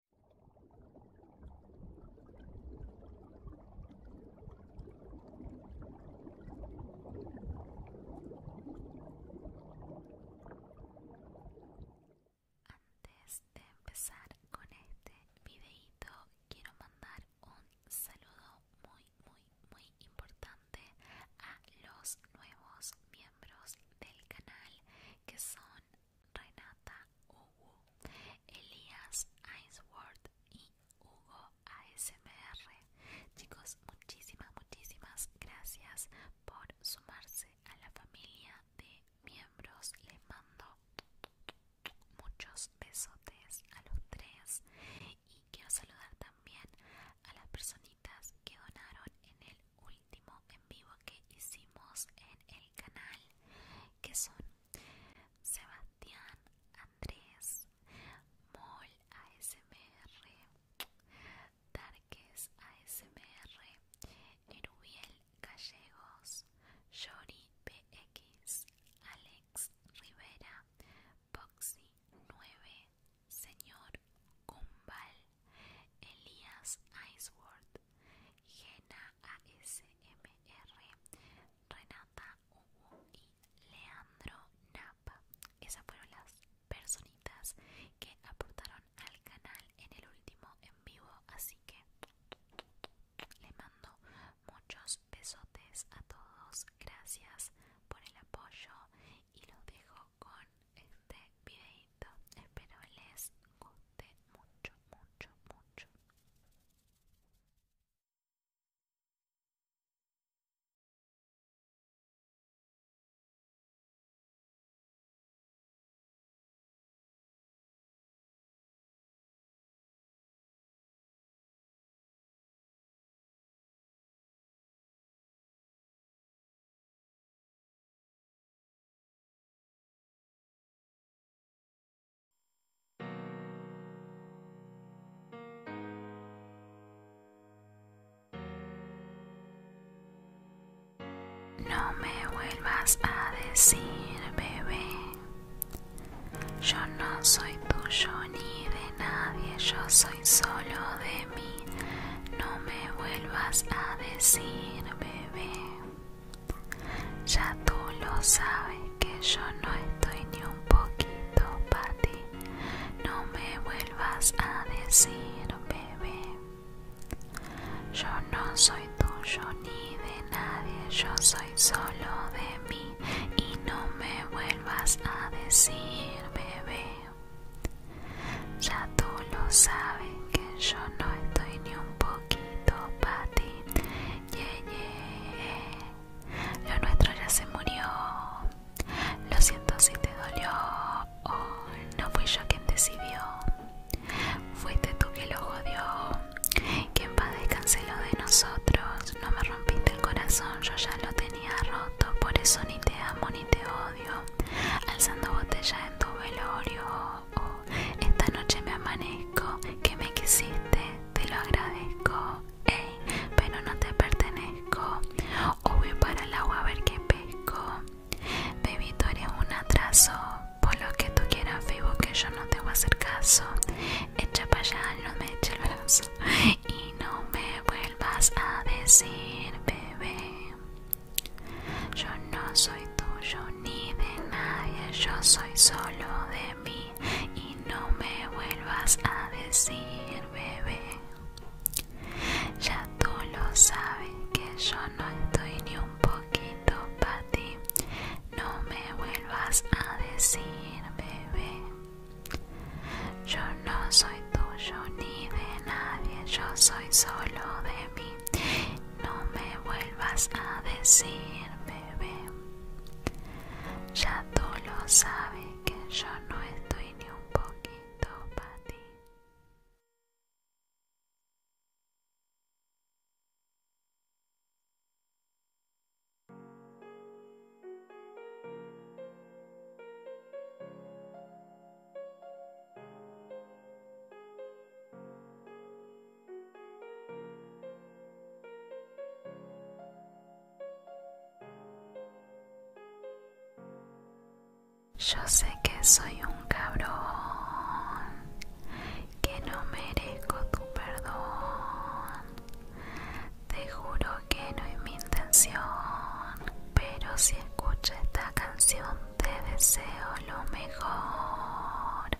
Antes de empezar con este videito quiero mandar un saludo muy muy muy importante a los nuevos miembros del canal que son Renata Hugo, Elías Ainsworth y Hugo ASMR. Chicos, muchísimas, muchísimas gracias por sumarse a la familia de miembros. Les mando muchos besotes a los tres y quiero saludar también a las personitas que donaron en el último en vivo que hicimos en el canal que son Sebastián Andrés Mol ASMR Darkes ASMR Erubiel Gallegos Yori BX Alex Rivera Boxy 9 Señor Cumbal, Elías Iceworth Gena ASMR, Renata y Leandro Napa. Esas fueron las personitas que aportaron al canal en el último en vivo, así que le mando muchos besotes a todos. Gracias por el apoyo y los dejo con este video pero Espero les guste mucho, mucho, mucho. No me vuelvas a decir, bebé. Yo no soy tuyo ni de nadie, yo soy solo de mí. No me vuelvas a decir, bebé. Ya tú lo sabes que yo no estoy ni un poquito para ti. No me vuelvas a decir, bebé. Yo no soy tuyo ni de nadie, yo soy solo de mí. Y no me vuelvas a decir, bebé. Ya tú lo sabes que yo no estoy ni un poquito poquito para Lo nuestro ya se murió. Lo siento si te dolió. no fui yo quien decidió. Fuiste tú que lo jodió. Quien va descanseló de nosotros. No me rompiste el corazón, yo ya lo tenía roto. Por eso ni te amo ni te odio. Alzando botella en tu velorio. Esta noche me amanezco, que me quisiste, te lo agradezco, ey, pero no te pertenezco. O voy para el agua a ver qué pesco. Baby, tú eres un atraso, por lo que tú quieras vivo que yo no te voy a hacer caso. Echa para allá, no me eche el brazo y no me vuelvas a decir, bebé. Yo no soy tuyo ni de nadie, yo soy solo de mí y no me vuelvas a decir, bebé. Ya tú lo sabes que yo no estoy ni un poquito para ti, no me vuelvas a decir, bebé. Yo no soy tuyo ni de nadie, yo soy solo de mí no me vuelvas a decir, bebé. Ya tú lo sabes que yo no estoy ni un poquito para ti. Yo sé que soy un cabrón, que no merezco tu perdón. Te juro que no es mi intención, pero si escuchas esta canción te deseo lo mejor.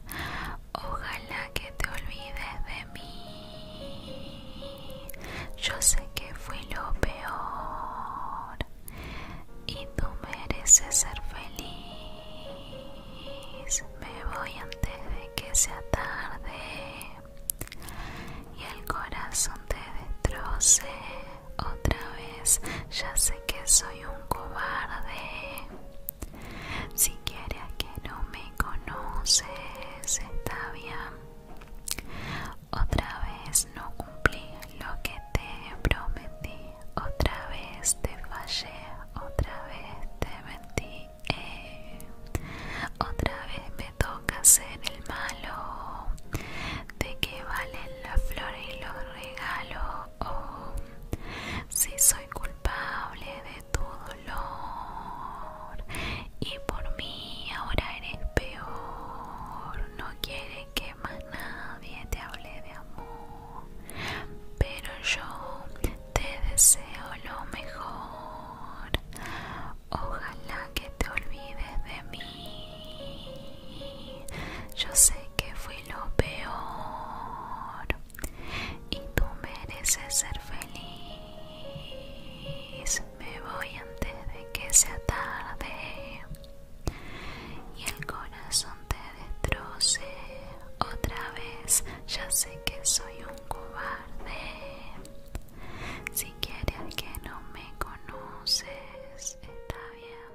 Ojalá que te olvides de mí. Yo sé que fui lo peor y tú mereces ser feliz. Me voy antes de que sea tarde y el corazón te destroce otra vez. Ya sé que soy un cobarde si quieres que no me conoces, está bien. Otra vez no cumplí lo que te prometí. Otra vez te fallé. Otra vez te mentí. Eh. Otra vez me toca ser el malo. ¿De qué valen las flores y los regalos? oh. Si soy culpable de tu dolor y por mí ahora eres peor. No quiere que más nadie te hable de amor, pero yo te deseo lo mejor. Ojalá que te olvides de mí. Yo sé que fui lo peor y tú mereces ser feliz. Me voy antes de que sea tarde y el corazón te destroce otra vez. Ya sé que soy un cobarde. Si quieres que no me conoces, está bien.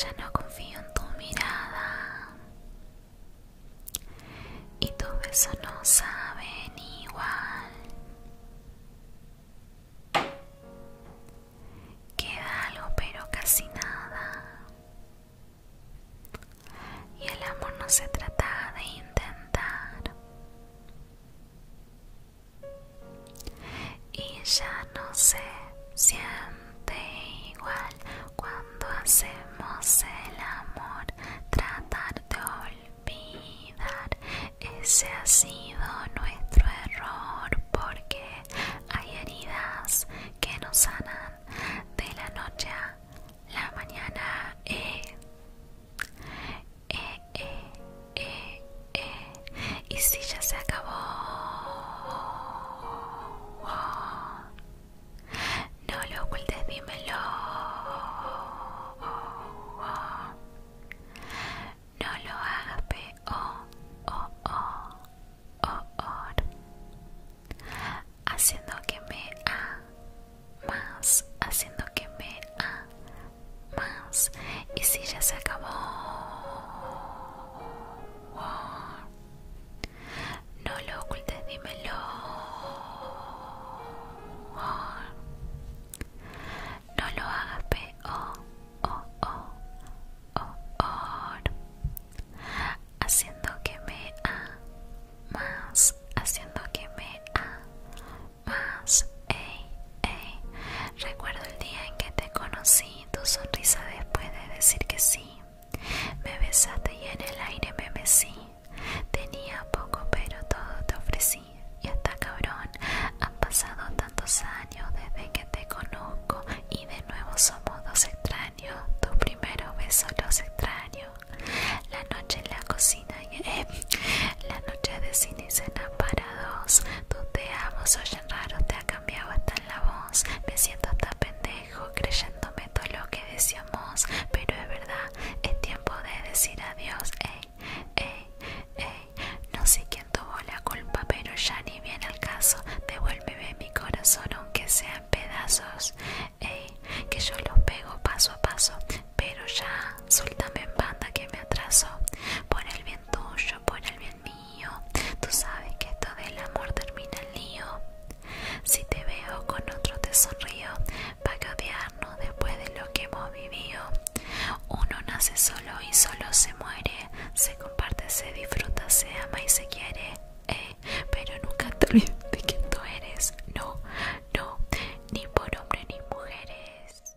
Ya no confío en tu mirada y tu beso no ni igual. Queda algo pero casi nada y el amor no se trata de intentar y ya no se siente igual cuando hacemos el amor tratar de olvidar ese ha sido nuestro error porque hay heridas que nos sanan de la noche a la mañana eh. Eh, eh, eh, eh. Y si ya se acabó. No lo ocultes, dímelo. No lo hagas, oh, oh, oh, oh, Haciendo que me más haciendo que me a más y si ya se acabó no lo ocultes dímelo no lo hagas p o haciendo que me a más haciendo que me a más ey, ey. Recuerdo el día en que te conocí, tu sonrisa después de decir que sí. Me besaste y en el aire me mecí. Tenía poco pero todo te ofrecí. Y hasta cabrón, han pasado tantos años desde que te conozco y de nuevo somos dos extraños. Tu primero beso los extraños. La noche en la cocina, eh, la noche de cine y cena para dos. Tú te amo, oyen raro, te ha cambiado hasta la voz. Me siento hasta pendejo, creyéndome todo lo que decíamos. Pero es verdad, es tiempo de decir adiós. Ey, eh, ey, eh, ey. No sé quién tuvo la culpa, pero ya ni viene al caso. Devuélveme mi corazón, aunque sea en pedazos que yo los pego paso a paso, pero ya, suéltame en banda que me atrasó Por el bien tuyo, por el bien mío, tú sabes que todo el amor termina el lío. Si te veo con otro te sonrío, para que odiarnos después de lo que hemos vivido. Uno nace solo y solo se muere, se comparte, se disfruta, se ama y se quiere. Eh, pero nunca te olvides de tú eres, no, no, ni por hombres ni mujeres.